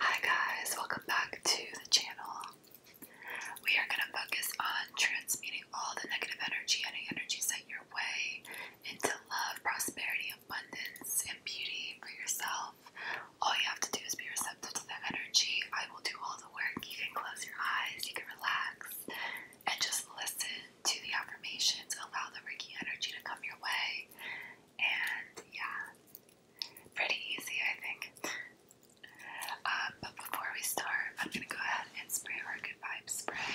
Hi guys, welcome back to the channel. We are going to focus on transmuting all the negative energy, any energy sent your way, into love, prosperity, abundance, and beauty for yourself. All you have to do is be receptive to the energy. I will do all the work. You can close your eyes, you can relax, and just listen to the affirmations. Allow the Reiki energy to come your way and yeah, pretty easy, I think. Uh, but before we start, I'm gonna go ahead and spray our good vibes spray.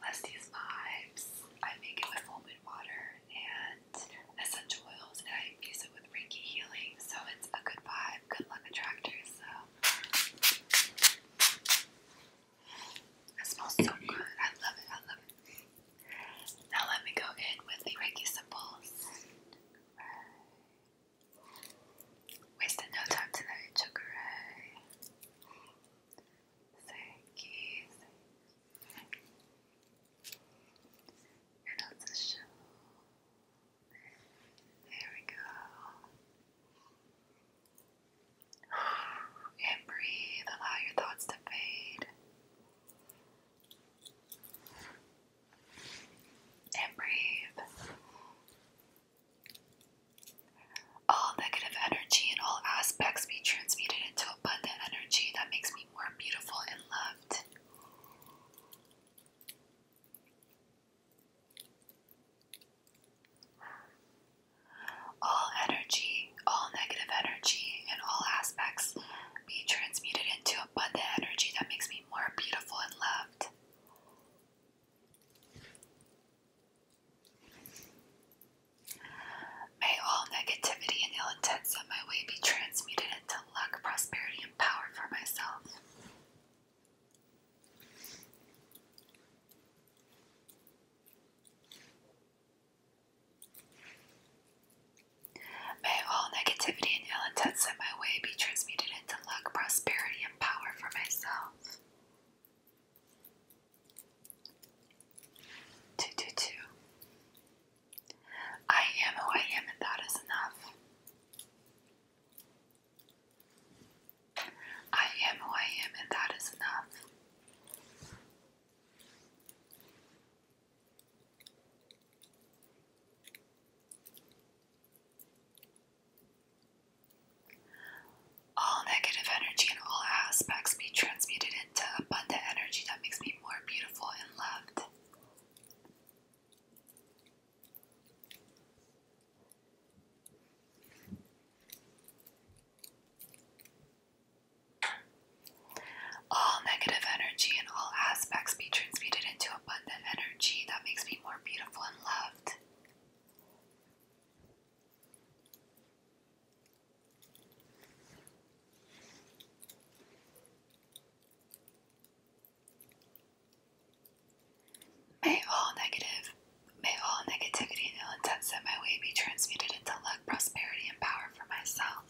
Let's vibes. I make it with full water and essential oils, and I use it with Reiki healing, so it's a good vibe, good luck attractor. So. It smells so good. I love it. I love it. Now let me go in with the Reiki symbols. Wasted no time tonight, Chokurai. Reiki, Reiki. you the show. There we go. And breathe, allow your thoughts to fade. And breathe. All negative energy in all aspects be transmuted into abundant energy that makes me more beautiful and loved. All energy, all negative energy and all aspects be transmuted into abundant energy that makes me more beautiful and loved. May all negativity and ill intents on my way be transmuted into luck, prosperity, and power for myself. May all negativity and ill intent sent my way be transmuted into luck, prosperity, and power for myself. 222. I am who I am, and that is enough. I am who I am, and that is enough. All negative energy in all aspects be transmuted into abundant energy that makes me more beautiful and loved. All negative energy and all aspects be transmuted into abundant energy that makes me more beautiful and loved. May all negative May all negativity and ill intent set my way be transmuted into luck, prosperity, and power for myself.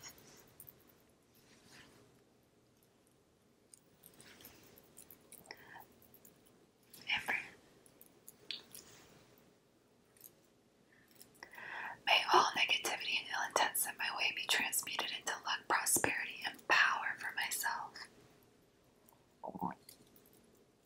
May all negativity and ill intent sent my way be transmuted into luck, prosperity, and power for myself. And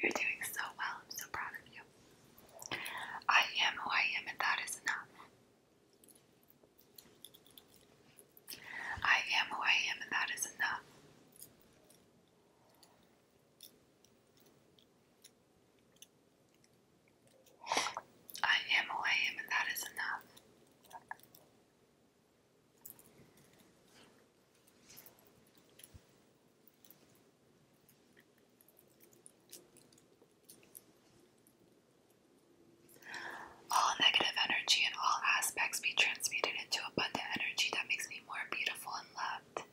You're doing so well. I'm so proud of you. I am who I am, and that is enough. I am who I am, and that is enough. I am who I am, and that is enough. All negative energy in all aspects be transmuted into abundant energy that makes me more beautiful and loved.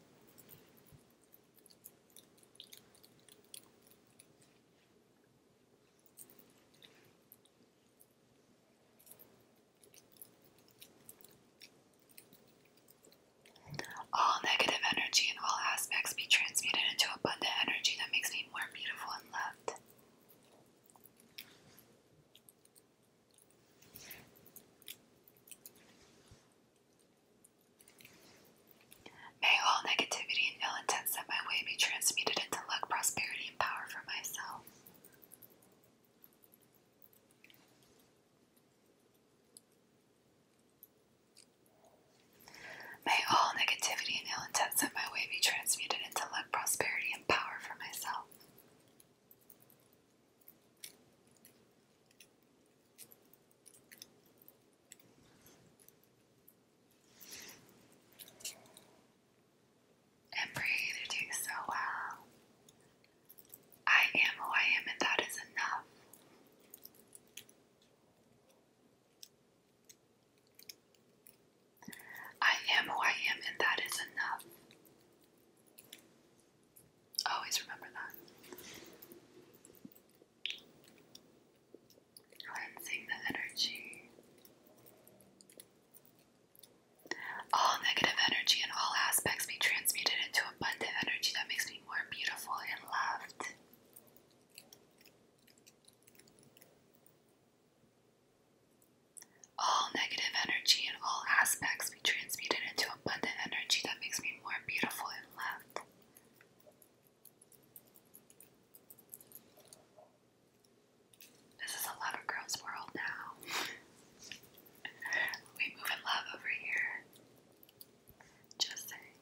All negative energy in all aspects be transmuted into abundant energy that makes me more beautiful and loved. May all negativity and ill intent sent my way be transmuted into luck, prosperity, and power for myself. May all negativity and ill intent of my way be transmuted into luck, prosperity, and power for myself. And breathe, you so well. I am who I am, and that is enough. I am who I am, and that is enough. Always remember that. Cleansing the energy. All negative energy in all aspects be transmuted into abundant energy that makes me more beautiful and loved. All negative energy in all aspects be transmuted into abundant energy that makes me more beautiful and loved. This is a lover girl's world now. we move in love over here. Just saying.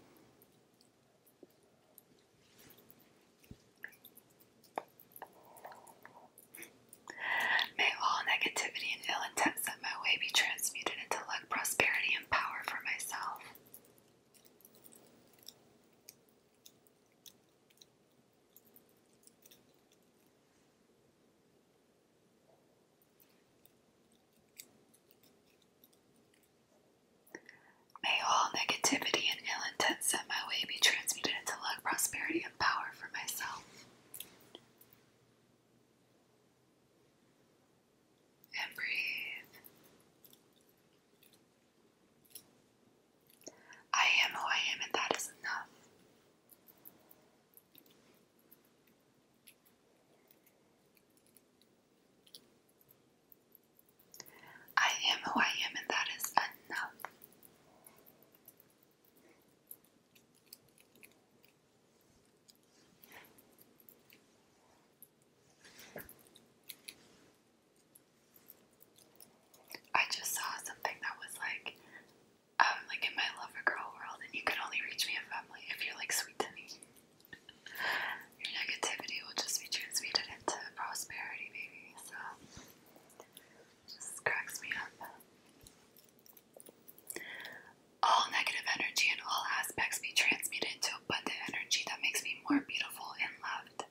May all negativity and ill intent of my way be transmuted into luck, prosperity, and power for myself. May all negativity and ill intent set my way be transmuted into luck, prosperity, and power for myself. And breathe. I am who I am, and that is enough. I am who I am, and that is enough. I just saw something that was like, um, like in my lover girl world, and you can only reach me if i if you're like sweet to me. Your negativity will just be transmuted into prosperity, baby. So, just cracks me up. All negative energy in all aspects be transmuted into abundant energy that makes me more beautiful and loved.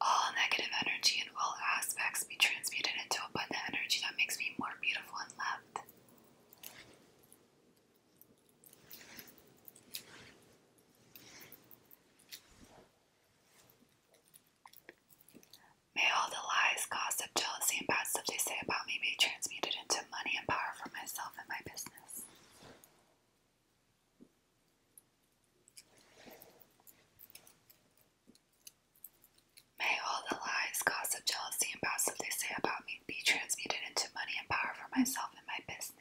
All negative energy and all aspects be transmuted into abundant energy that makes me more beautiful and loved. May all the lies, gossip, jealousy, and bad stuff they say about me be transmuted into money and power for myself and my business. May all the lies, gossip, jealousy, and gossip they say about me be transmuted into money and power for myself and my business.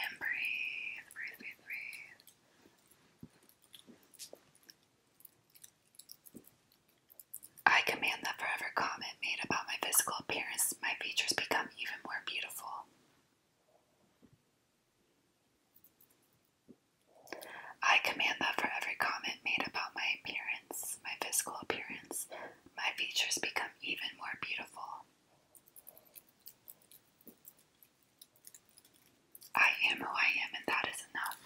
And breathe, breathe, breathe, I command that forever comment made about my physical appearance, my features become even more beautiful. I command that for every comment made about my appearance, my physical appearance, my features become even more beautiful. I am who I am, and that is enough.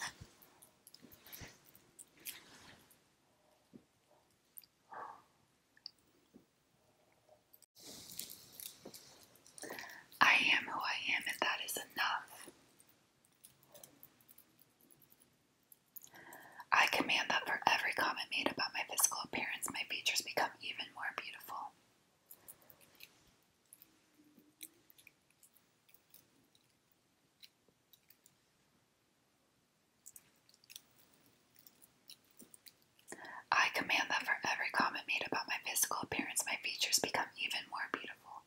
I am who I am, and that is enough. I command that for every comment made about my physical appearance, my features become even more beautiful. I command that for every comment made about my physical appearance, my features become even more beautiful.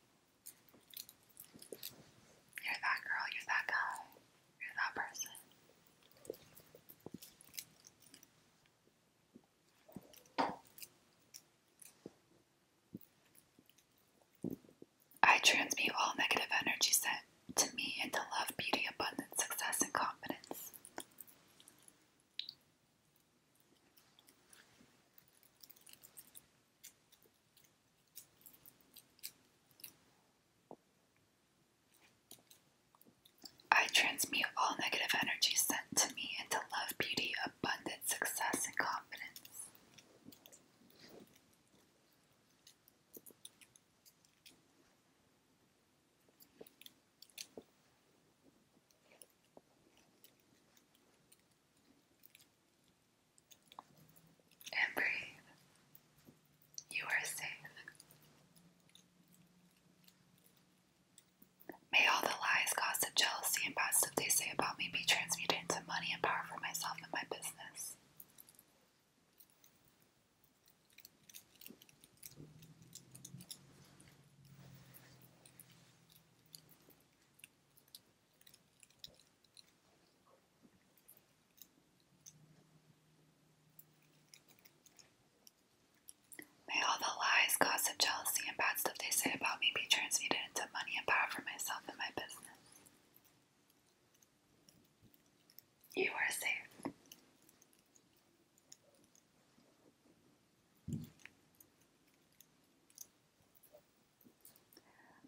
You're that girl, you're that guy, you're that person. I transmute all negative energy sent to me into love, beauty, abundance, success, and confidence. I transmute all negative energy sent to me into love, beauty, abundance, success, and confidence. And breathe. You are safe. May all the lies, gossip, jealousy, and positive they say about me be transmuted into money and power for myself and my business. May all the lies, gossip, jealousy, and bad stuff they say about me be transmuted into money and power for myself and my business. You are safe.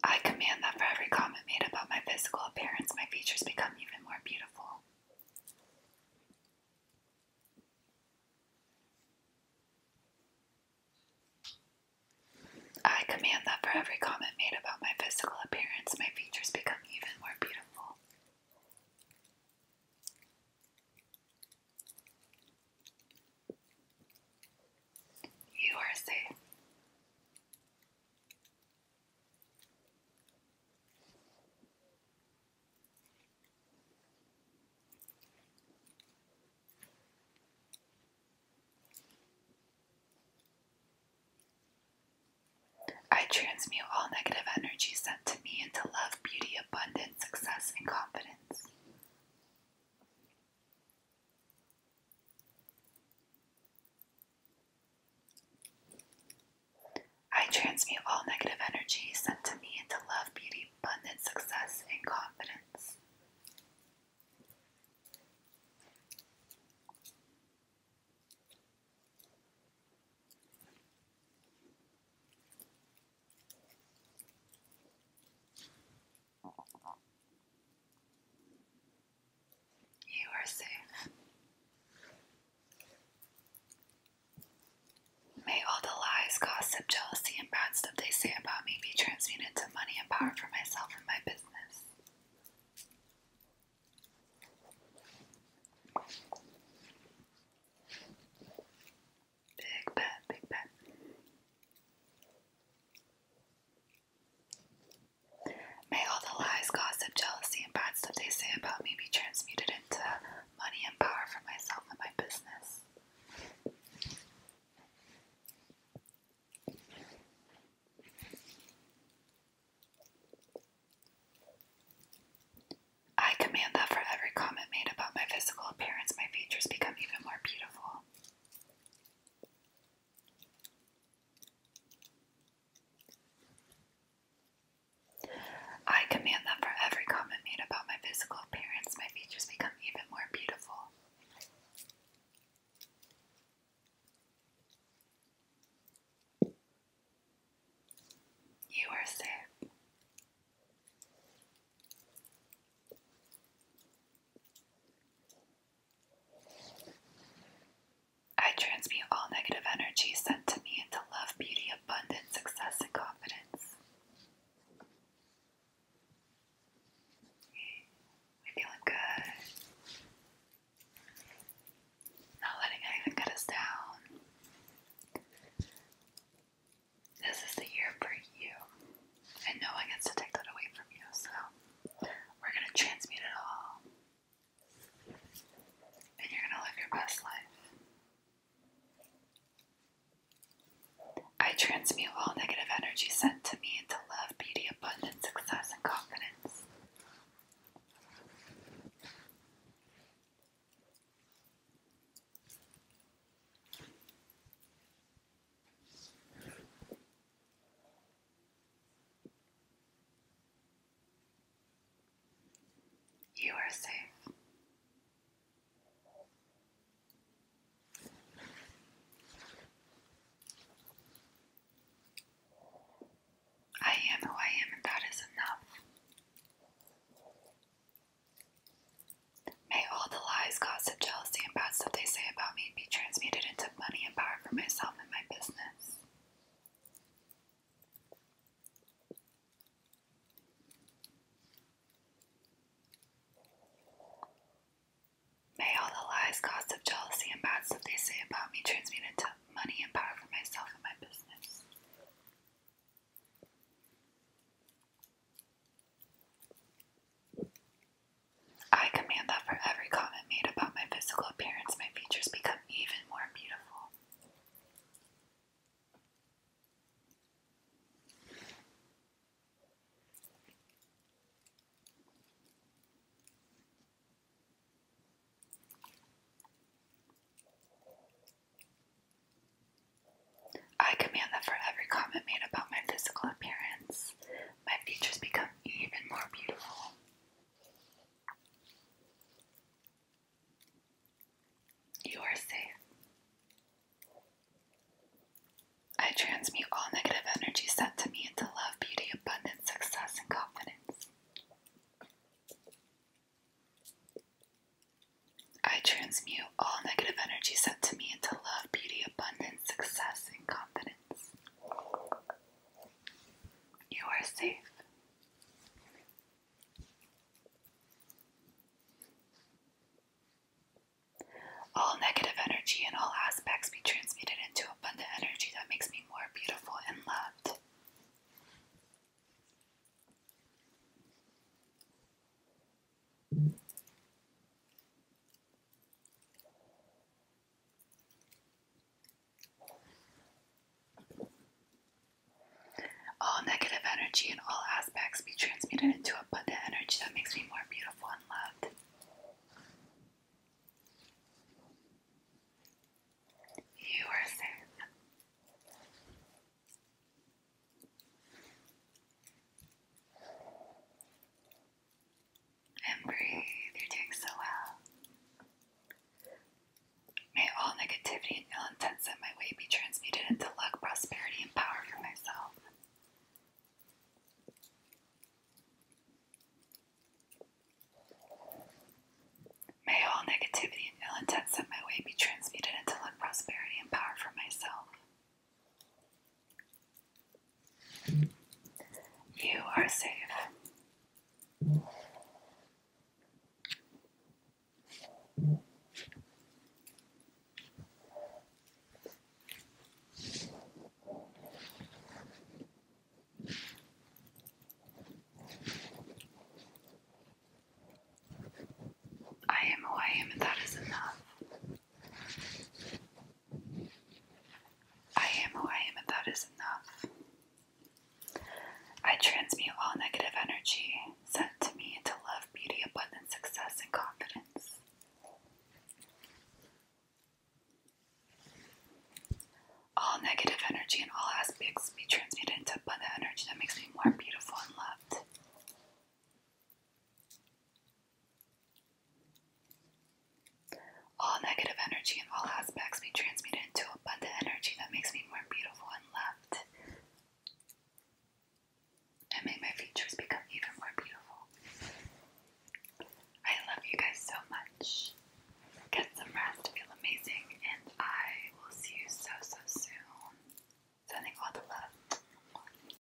I command that for every comment made about my physical appearance, my features become even more beautiful. I command that for every comment made about my physical appearance, my features become even more beautiful. You are safe. I transmute all negative energy sent to me into love, beauty, abundance, success, and confidence. I transmute all negative energy sent to me into love, beauty, abundance, success, and confidence. You are safe. May all the lies, gossip, jealousy, and bad stuff they say about me be transmuted to money and power for myself and my business. Big bet, big bet. May all the lies, gossip, jealousy, and bad stuff they say about me be transmuted into money and power for myself and my business. I command that for every comment made about my physical appearance, my features become even more beautiful. I command that for every comment made about my physical appearance, my features become even more beautiful. You are safe. I transmute all negative energy sent to me into love, beauty, abundance, success, and confidence. we feeling good. Not letting anything get us down. This is the year for you, and no one gets to take that away from you, so we're going to transmute it all and you're gonna live your best life. I transmute all negative energy sent to me into love, beauty, abundance, success, and confidence. You are safe. I am who I am, and that is enough. May all the lies, gossip, jealousy, and bad stuff they say about me be transmuted into money and power for myself. May all the lies, gossip, jealousy, and bad stuff they say about me transmute into money and power for myself and my business. I command that for every comment made about my physical appearance, my features become even more beautiful. I command that for every comment made about my physical appearance, my features become even more beautiful. You are safe. I transmute all negative energy sent to me into love, beauty, abundance, success, and confidence. I transmute all negative energy sent to me into love, beauty, abundance, success, and confidence. You are safe. All negative energy in all aspects be transmuted into abundant energy that makes me more beautiful and loved. All negative energy and all aspects be transmuted into a abundant energy that makes me more beautiful and loved. You are safe. And breathe, you're doing so well. May all negativity and ill intent sent my way be transmuted into luck, prosperity, and power for myself. May all negativity and ill intent sent my way be transmuted into luck, prosperity, and power for myself. You are safe. I am who I am, and that is enough. I am who I am, and that is enough. I transmute all negative energy sent to me into love, beauty, abundance, success, and confidence. All negative energy and all aspects be transmuted into abundant energy that makes me more beautiful and loved. All negative energy and all aspects be transmuted into abundant energy that makes me more beautiful and loved. And may my features become even more beautiful. I love you guys so much. Get some rest, feel amazing, and I will see you so, so soon. Sending all the love.